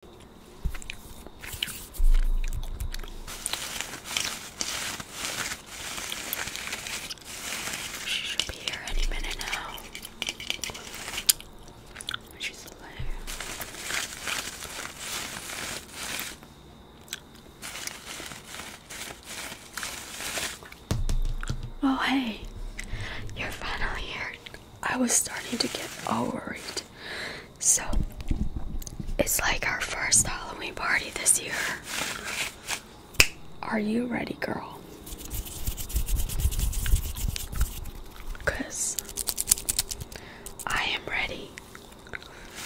She should be here any minute now. She's alive. Oh, hey, you're finally here. I was starting to get worried. So it's like our first Halloween party this year. Are you ready, girl? Because I am ready.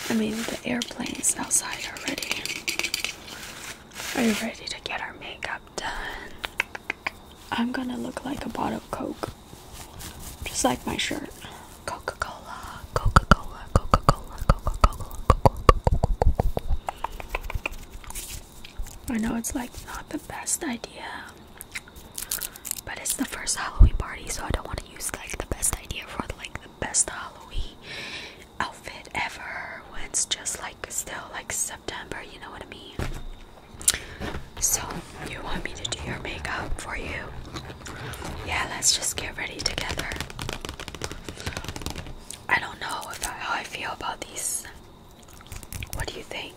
I mean, the airplanes outside are ready. Are you ready to get our makeup done? I'm gonna look like a bottle Coke. Just like my shirt. Coca Cola, Coca Cola, Coca Cola, Coca Cola, Coca Cola. I know it's like not the best idea, but it's the first Halloween party, so I don't want to use like the best idea for like the best Halloween outfit ever when it's just like still like September, you know what I mean? So, you want me to do your makeup for you? Yeah, let's just get ready together. I don't know if how I feel about these. What do you think?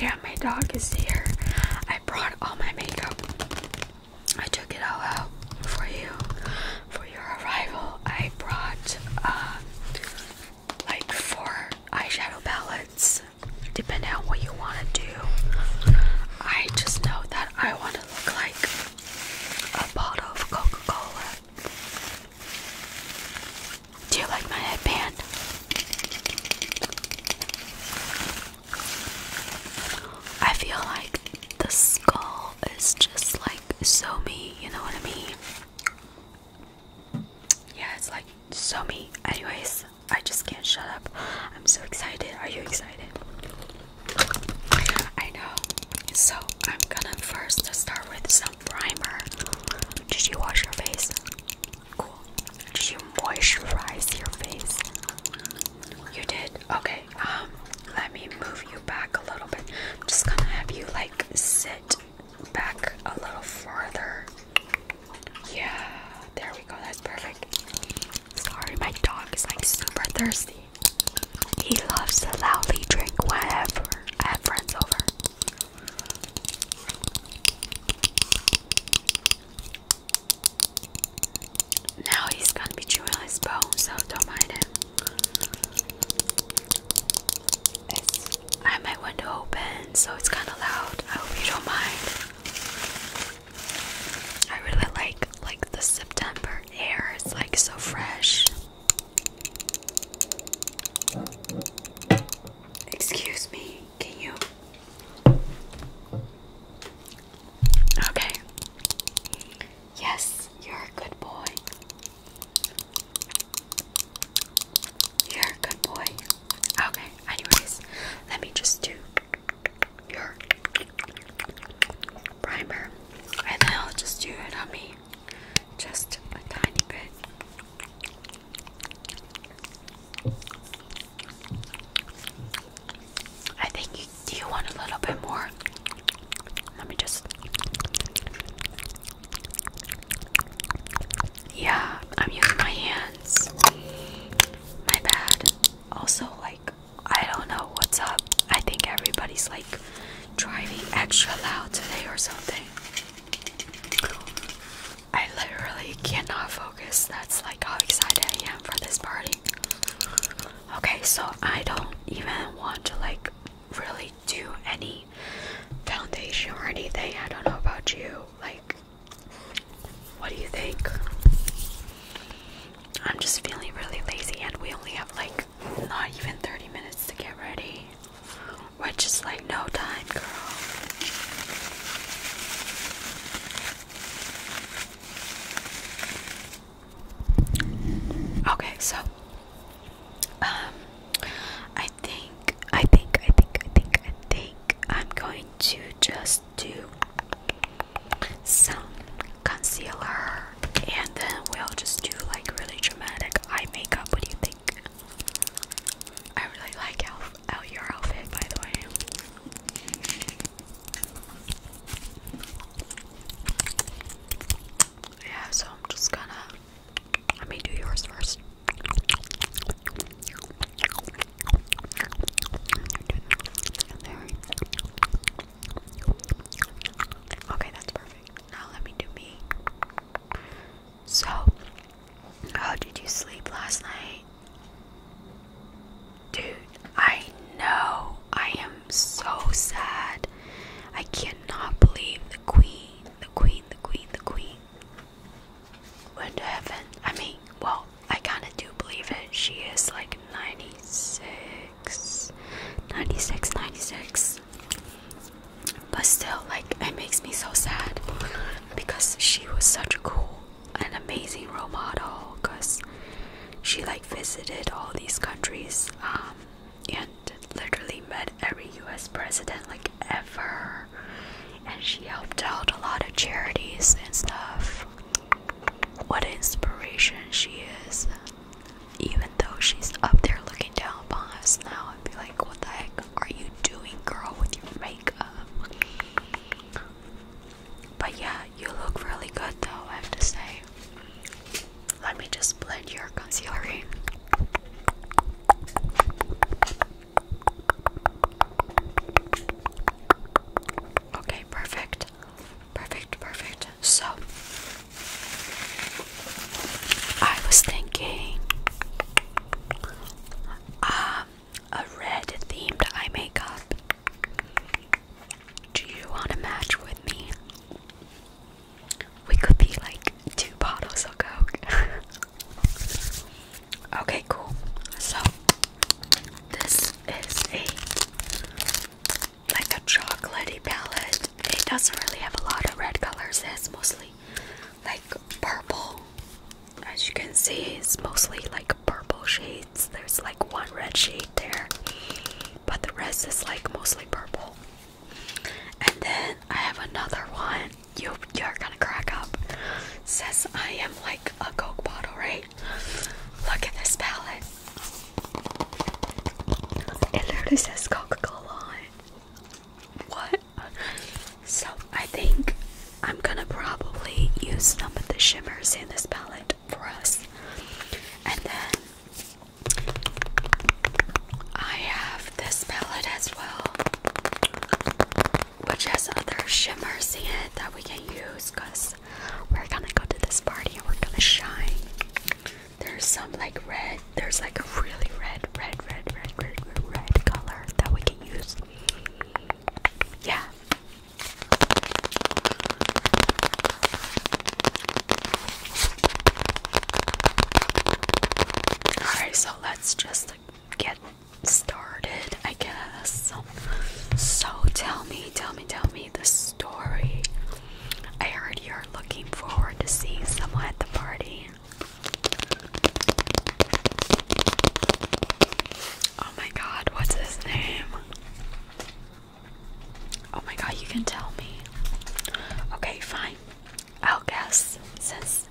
Yeah, my dog is here. I brought all my makeup. I took it all out for you. For your arrival, I brought uh, like four eyeshadow palettes depending on what you want to do. I just know that I want to look like a bottle of Coca Cola. Do you like my headband? I feel like the skull is just like so me, you know what I mean? yeah, it's like so me. Anyways, I just can't shut up. I'm so excited. Are you excited? I know. So I'm gonna first start with some primer. Did you wash your face? Cool. Did you moisturize your face? You did. Okay. Um, let me move you back a little bit. just gonna have you like sit back a little farther. Yeah, there we go. That's perfect. Sorry, my dog is like super thirsty. He loves to loudly drink whenever I have friends over. Now he's gonna be chewing his bone, so don't mind him. It's, I have my window open, so it's kind of loud. I hope you don't mind. I really like like the September air. It's like so fresh. Excuse me. Can you? Okay. Yes, you're a good boy. You're a good boy. Okay, anyways, let me just do your primer and then I'll just do it on me. Just a tiny bit. I think you do want a little bit more? Let me just yeah, I'm using my hands. My bad. Also, like, I don't know what's up. I think everybody's like driving extra loud today or something. I literally cannot focus. That's like how excited I am for this party. Okay, so I don't even want to like really do any foundation or anything. I don't know about you. Like, what do you think? I'm just feeling really lazy, and we only have like not even 30 minutes to get ready, which is like no time, girl. Okay, so um, I think, I think, I think, I think, I think I'm going to just do some concealer and then we'll just do like really dramatic eye makeup. What do you think? I really like your outfit, by the way. Yeah, so I'm just gonna let me do yours first. Okay, that's perfect. Now let me do me. So, how did you sleep last night? Dude, I know. I am so sad. I cannot believe the queen, the queen, the queen, the queen went to heaven. I mean, well, I kind of do believe it. She is like 96, 96, 96. But still, like, it makes me so sad because she was such a cool and amazing role model because she like visited all these countries um, and literally met every US president like ever and she helped out a lot of charities and stuff. What an inspiration she is! Even though she's up there looking down upon us now, I'd be like, "What the heck are you doing, girl, with your makeup?" But yeah, you look really good though, I have to say. Let me just blend your concealer in. Okay, perfect. Perfect, perfect. So, I was thinking um a red themed eye makeup. Do you want to match with me? We could be like two bottles of Coke. Okay, cool. So this is a like a chocolatey palette. It doesn't really have a lot of red colors. It's mostly like purple. As you can see, it's mostly like purple shades. There's like one red shade there, but the rest is like mostly purple. And then I have another one you you're gonna crack up. Says I am like a Coke bottle, right? Look at this palette. It literally says Coca-Cola What? So I think I'm gonna probably use some of the shimmers in this palette for us. And then I have have this palette as well, which has other shimmers in it that we can use because we're gonna go to this party and we're gonna shine. There's some like red, there's like a really red, red, red, red, red, red, red color that we can use. Yeah. Alright, so let's just get started, I guess. So tell me, tell me, tell me the story. I heard you're looking forward to seeing someone at the party. Oh my god, what's his name? Oh my god, you can tell me. Okay, fine. I'll guess since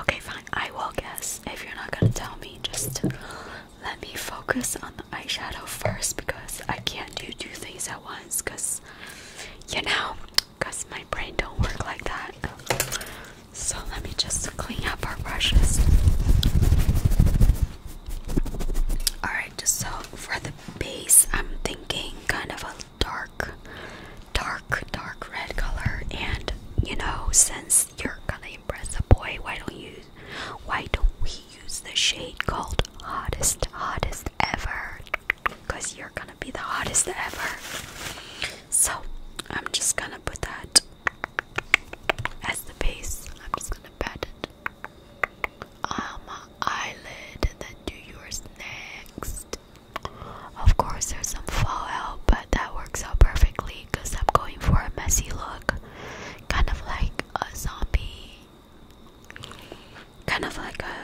okay fine I will guess if you're not gonna tell me just let me focus on the eyeshadow first because I can't do two things at once because you know because my brain don't work like that so let me just clean up our brushes alright so for the base I'm thinking kind of a dark dark, dark red color. And you know, since you're gonna impress the boy, why don't you? Why don't we use the shade called hottest, hottest ever? Because you're gonna be the hottest ever. So I'm just gonna put that as the base. I'm just gonna pat it on my eyelid and then do yours next. Of course, there's some fallout, but that works out perfectly because I'm going for a messy look. Kind of like a zombie. Kind of like a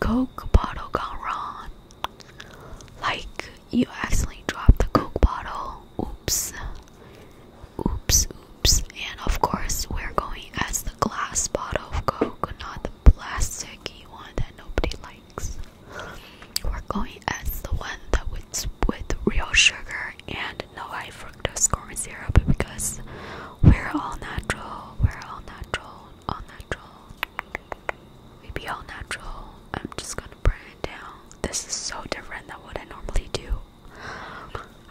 Coke bottle gone wrong. Like you accidentally dropped the Coke bottle. Oops. Oops, oops. And of course, we're going as the glass bottle of Coke, not the plasticky one that nobody likes. We're going as the one that was with real sugar and no high fructose corn syrup because we're all natural. We're all natural. All natural. We be all natural. I'm just gonna bring it down. This is so different than what I normally do.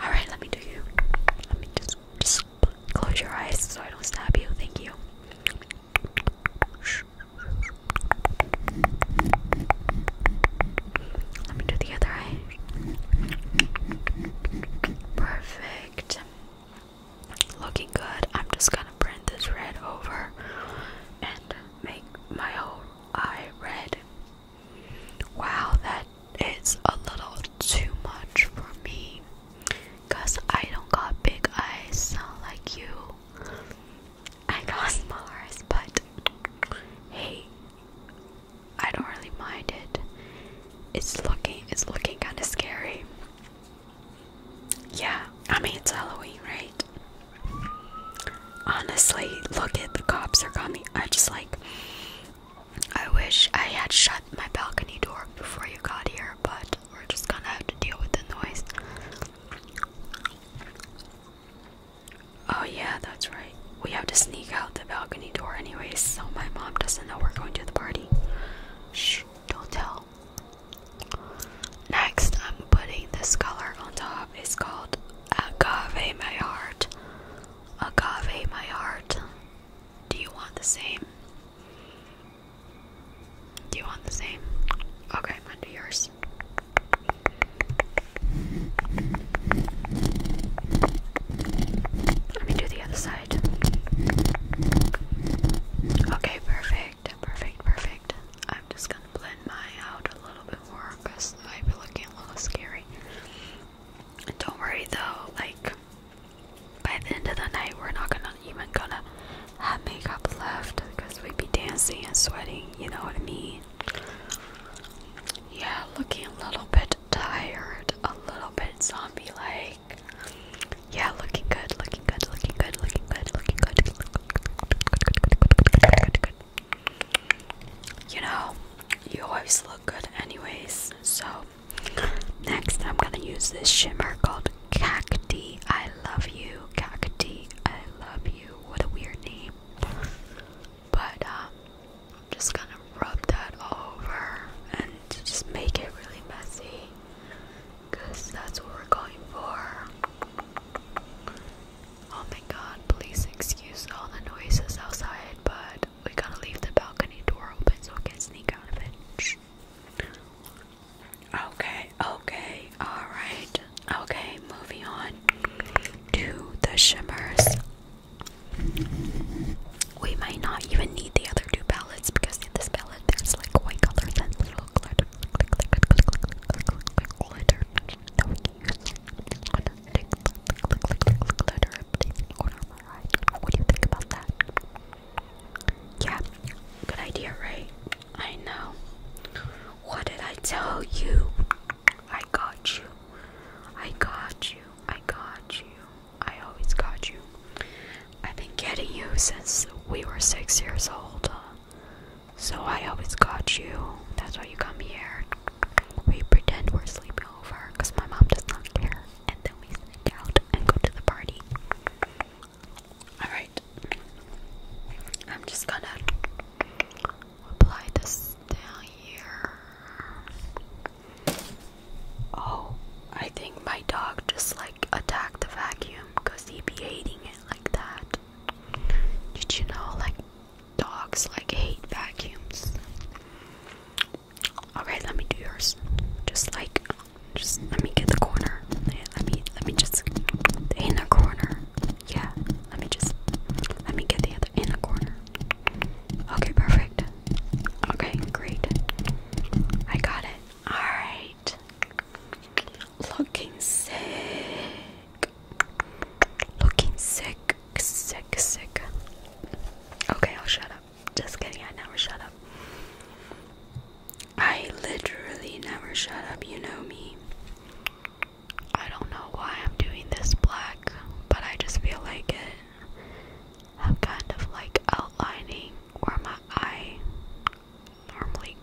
Alright, let me do you. Let me just close your eyes so I don't stab you. Thank you. Let me do the other eye. Perfect. Looking good. I'm just gonna print this red over and make my whole eye red. Wow, that is a little too much for me. I don't got big eyes like you. I got Mars, but hey, I don't really mind it. It's looking it's looking kinda scary. Yeah, I mean it's Halloween, right? Honestly, look at the cops are coming. I just like I wish I had shut my balcony door before you got here, but we're just gonna have to deal with the noise. Oh, yeah, that's right. We have to sneak out the balcony door, anyways, so my mom doesn't know we're going to the party. Shh, don't tell. Next, I'm putting this color on top. It's called Agave My Heart. Agave My Heart. Do you want the same? Do you want the same? Okay, I'm gonna do yours. Let me do the other side. Okay, perfect, perfect, perfect. I'm just gonna blend mine out a little bit more because I've been looking a little scary. Don't worry though, like by the end of the night, we're not gonna not even gonna have makeup left because we'd be dancing and sweating, you know what I mean? Yeah, looking a little bit tired, a little bit zombie like. Yeah, looking good, looking good, looking good, looking good, looking good. Looking good, good, good, good, good, good. You know, you always look good, anyways. So, next I'm gonna use this shimmer called Cacti, I love you. Cacti, I love you. What a weird name. But um, I'm just gonna rub that all over and just make it really messy. Cause that's what we're going for. Oh my god, please excuse all the noises outside, but we gotta leave the balcony door open so we can sneak out of it. Okay, okay, alright. Okay, moving on to the shimmers. We might not even need the other two palettes because in this palette there's like white colors and little glitter glitter What do you think about that? Yeah, good idea, right? I know. What did I tell you? I got you. I got you. I got you. I always got you. I've been getting you since we were six years old. Uh, so I always got you. That's why you come here. We pretend we're sleeping over because my mom does not care. And then we sneak out and go to the party. Alright, I'm just gonna apply this down here. Oh, I think my dog just like attacked the vacuum because he be hating it like that. Did you know, like, dogs like hate vacuums? Okay, let me do yours. Just like just let me get the corner. Let me let me just the inner corner. Yeah, let me just let me get the other in the corner. Okay, perfect. Okay, great. I got it. Alright. Looking sick. Looking sick, sick, sick. Okay, I'll shut up. Just kidding, I never shut up. I literally never shut up, you know me. I don't know why I'm doing this black, but I just feel like it. I'm kind of like outlining where my eye normally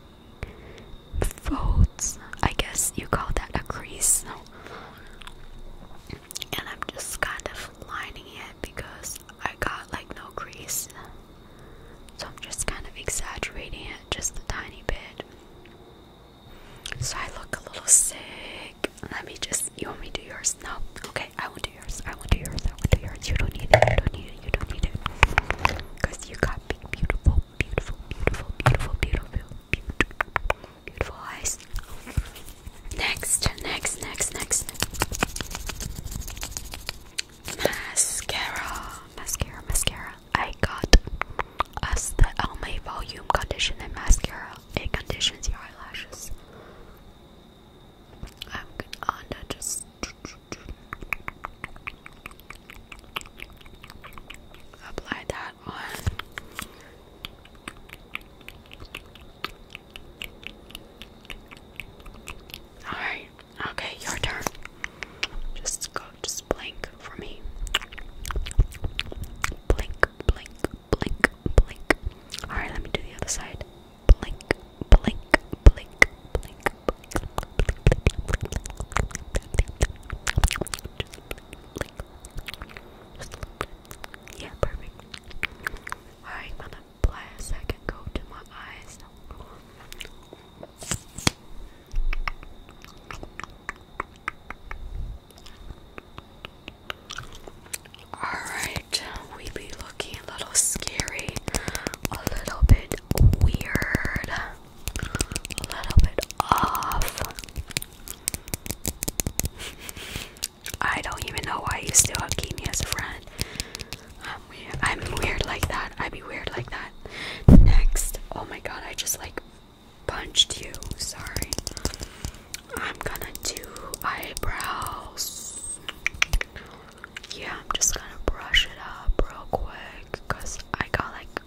folds. I guess you call that a crease. And I'm just kind of lining it because I got like no crease. So I'm just kind of exaggerating it just a tiny bit. So I look a little sick. Let me just. You want me to do yours? No. Okay, I won't do yours. I won't do yours. I won't do yours. You don't need it. You don't need it. You don't need it. Because you got big, beautiful, beautiful, beautiful, beautiful, beautiful, beautiful, beautiful eyes. Next, next, next, next. Mascara, mascara, mascara. I got as the Elmay Volume Conditioner Mascara. It conditions your eyelashes. I'm gonna just. Apply that on. Alright. Okay, your turn. Just go, just blink for me. Blink, blink, blink, blink. Alright, let me do the other side. Blink, blink, blink, blink. Yeah, perfect. Alright, I'm gonna apply to my eyes. Alright, we be looking a little scary, a little bit weird, a little bit off. I don't even know why you still keep me as a friend. I'm weird. like that. I'd be weird like that. Next. Oh my god, I just like punched you. Sorry. I'm gonna do eyebrows. Yeah, I'm just gonna brush it up real quick because I got like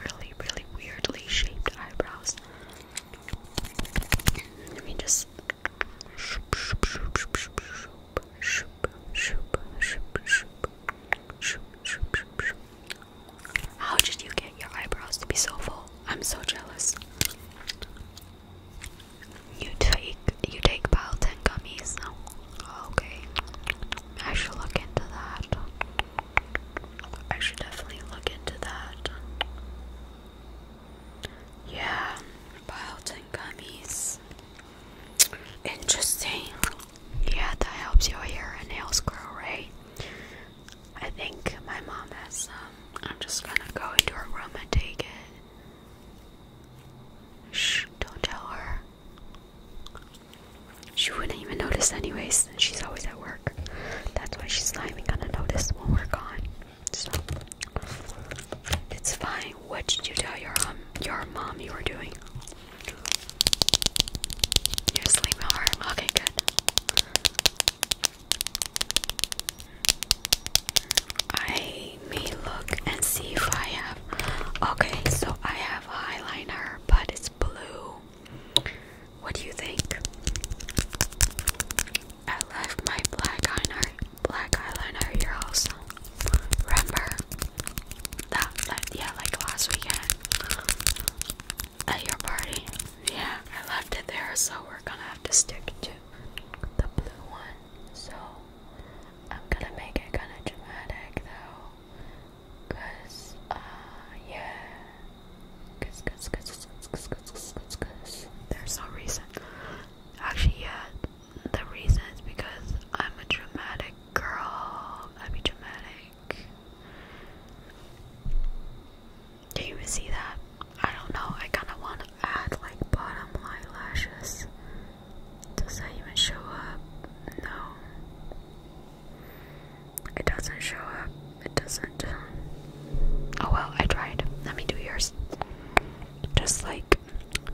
really, really weirdly shaped eyebrows. Let me just. How did you get your eyebrows to be so full? I'm so jealous. You take you take Palatine gummies. okay, I should look into that. I should definitely look into that. Yeah, Palatine gummies. Interesting. Yeah, that helps your hair and nails grow, right? I think my mom has some. I'm just gonna go into her room and take it. Shh, don't tell her. She wouldn't even notice, anyways. She's always at work. That's why she's not even gonna notice when we're gone. So it's fine. What did you tell your um your mom you were doing? You're asleep, Okay, good. I may look and see if I have. Okay, so I have eyeliner, but it's blue. What do you think? I left my black eyeliner, black eyeliner here also. Remember? that, that yeah, like last weekend at your party. Yeah, I left it there, so we're gonna have to stick to the blue one. So I'm gonna make it kind of dramatic though, cause uh yeah, cause cause cause cause cause cause cause cause there's no reason. Actually, yeah, the reason is because I'm a dramatic girl, that'd be dramatic. Do you see that? I don't know. I kind of want to add like bottom line lashes. Does that even show up? No. It doesn't show up. It doesn't. Oh well, I tried. Let me do yours. Just like,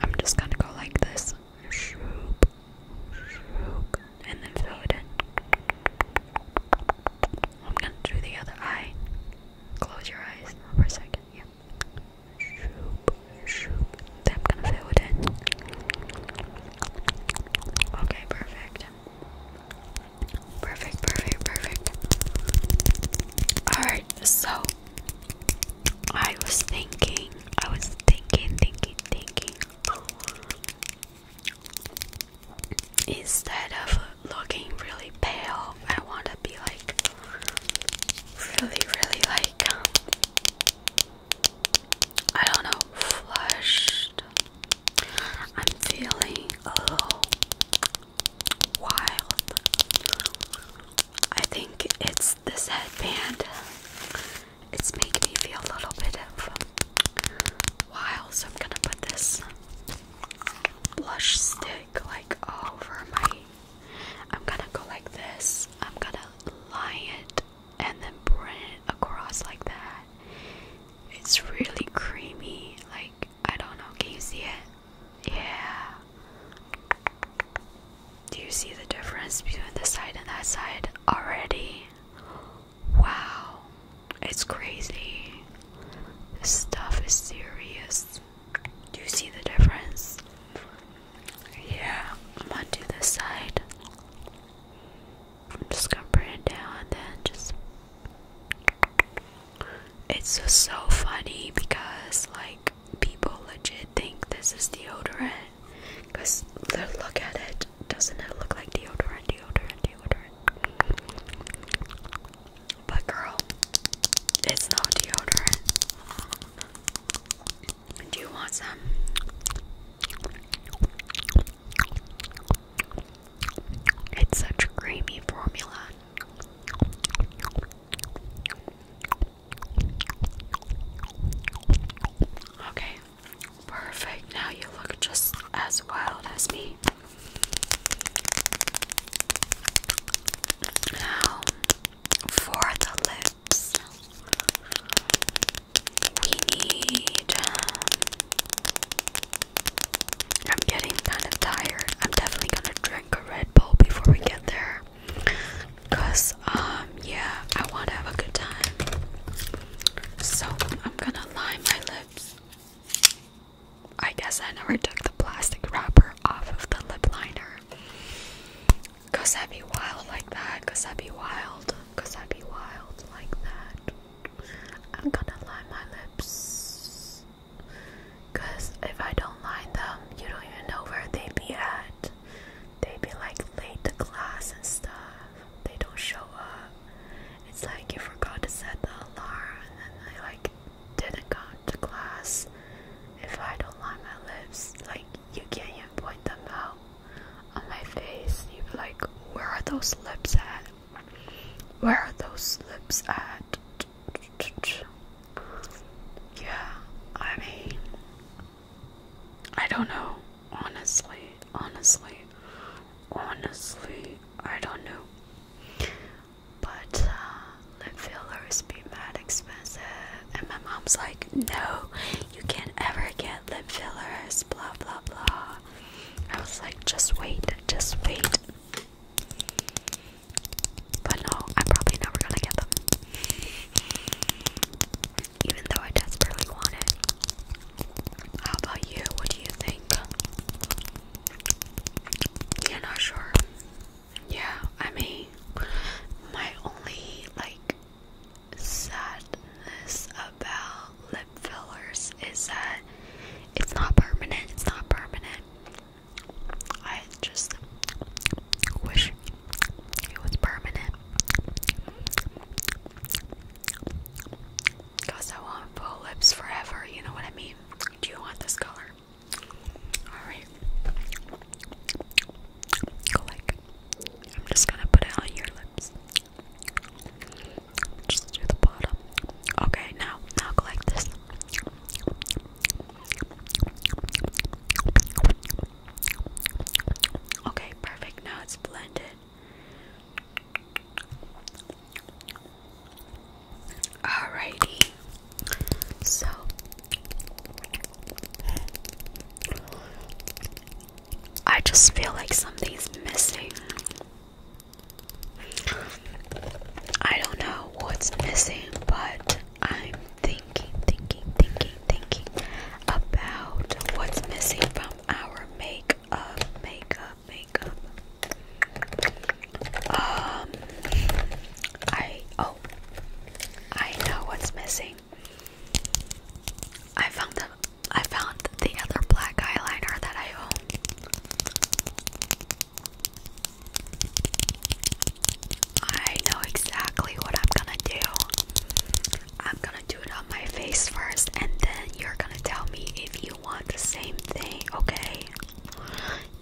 I'm just gonna go like this. Shroop, shroop, and then fill it in. I'm gonna do the other eye. Close your eyes for a second. Yeah. Shroop, shroop. Then I'm gonna fill it in. Okay, perfect. Perfect, perfect, perfect. Alright, so I was thinking, I was thinking, thinking, thinking. Instead of looking really pale, I want to be like really, really like I don't know, flushed. I'm feeling a little wild. I think it's this headband it's making me feel a little bit of wild, so I'm gonna put this blush stick like over my I'm gonna go like this. I'm gonna line it and then bring it across like that. It's really creamy. Like I don't know, can you see it? Yeah. Do you see the difference between this side and that side already? Wow, it's crazy. This stuff is serious. Do you see the difference? Yeah, I'm gonna do this side. I'm just gonna bring it down then just. It's so funny because, like, people legit think this is deodorant. Because look at it. Doesn't it look like deodorant, deodorant, deodorant? But girl, it's not deodorant. Do you want some? It's such a creamy formula. Okay, Perfect. Now you look just as wild as me. Now, for the lips, we need. Um, I'm getting kind of tired. I'm definitely gonna drink a Red Bull before we get there. Cause um yeah, I wanna have a good time. So I'm gonna line my lips. I guess I never took the plastic wrapper off of the lip liner. Cause I'd be wild like that. Cause I'd be wild. Cause I'd be wild like that. I'm gonna line my lips. Cause if I don't line them, you don't even know where they be at they be like late to class and stuff. They don't show up. It's like you forgot to set the alarm and then they like didn't come to class. If I don't line my lips, like you can't even point them out on my face. You like, where are those lips at? Where are those lips at? Yeah, I mean, I don't know honestly, honestly, honestly, I don't know. But uh, lip fillers be mad expensive, and my mom's like, no, you can't ever get lip fillers, blah blah blah. I was like, just wait, just wait. But no, I'm probably never gonna get them even though I desperately want it. How about you? What do you think? you not sure? Yeah, I mean, my only like sadness about lip fillers is that it's not permanent. It's not permanent. I just wish it was permanent. Because I want full lips forever, you know what I mean? Do you want this color? Alright. Go like. I'm just gonna put it on your lips. Just do the bottom. Okay, now, now go like this. Okay, perfect. Now it's blended. Alrighty. So I just feel like something's missing. I don't know what's missing, but I'm thinking, thinking, thinking thinking about what's missing from our makeup, makeup, makeup. Um, I oh, I know what's missing. I found the I found the other black eyeliner that I own. I know exactly what I'm gonna do. I'm gonna do it on my face first, and then you're gonna tell me if you want the same thing, okay?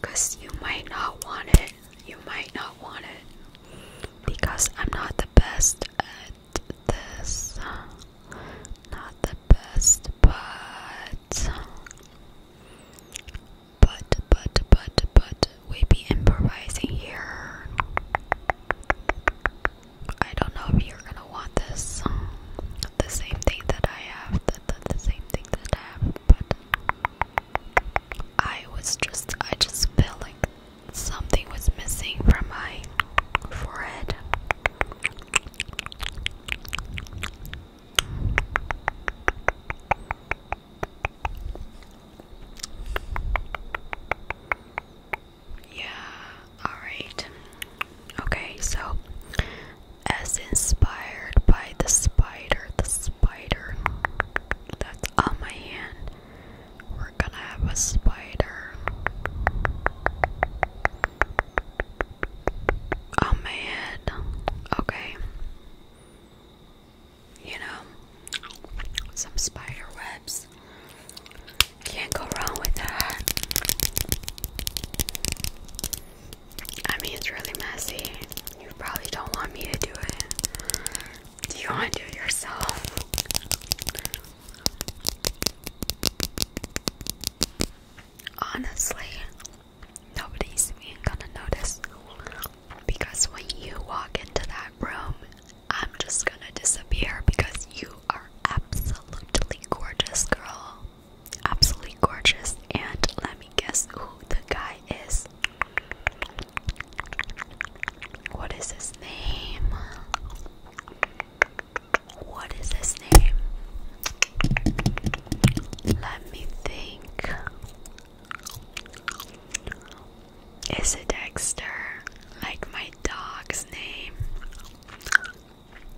Because you might not want it. You might not want it. Because I'm not the best at this. Not the best, but. But, but, but, but, we be improvising here. I don't know if you're gonna want this. Um, the same thing that I have, the, the same thing that I have, but I was just, I just felt like something was missing from my forehead. Yeah, alright. Okay, so as inspired by the spider, the spider that's on my hand, we're gonna have a spider on my head. Okay. You know, some spider webs. Can't go wrong with that. I mean, it's really messy. You probably don't want me to do it. Do you want to do it yourself? Honestly, nobody's even gonna notice because when you walk into that room, I'm just gonna disappear because you are absolutely gorgeous, girl. Absolutely gorgeous. And let me guess who the guy is. What is his name? What is his name? Let me think. Is it Dexter? Like my dog's name.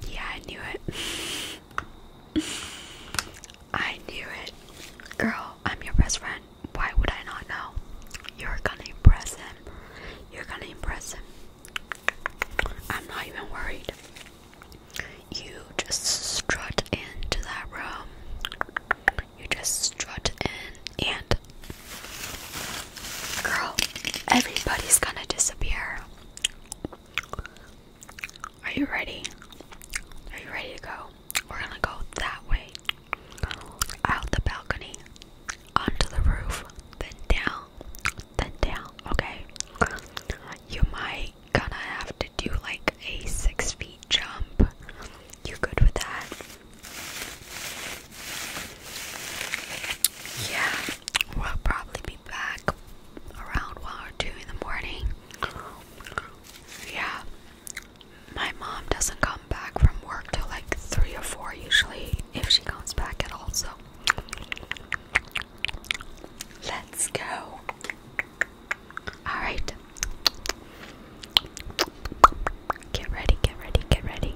Yeah, I knew it. I knew it. Girl, I'm your best friend. Why would I not know? You're gonna impress him. You're gonna impress him. I'm not even worried. You just strut into that room. You just strut in and Girl, everybody's gonna disappear. Are you ready? Are you ready to go? We're gonna go that way. Out the balcony, onto the roof, then down, then down, okay? You might gonna have to do like a six feet jump. You good with that? Yeah, we'll probably be back around one or two in the morning. Yeah, my mom doesn't come back from work till like three or four usually, if she comes back at all. So let's go. All right. Get ready, get ready, get ready.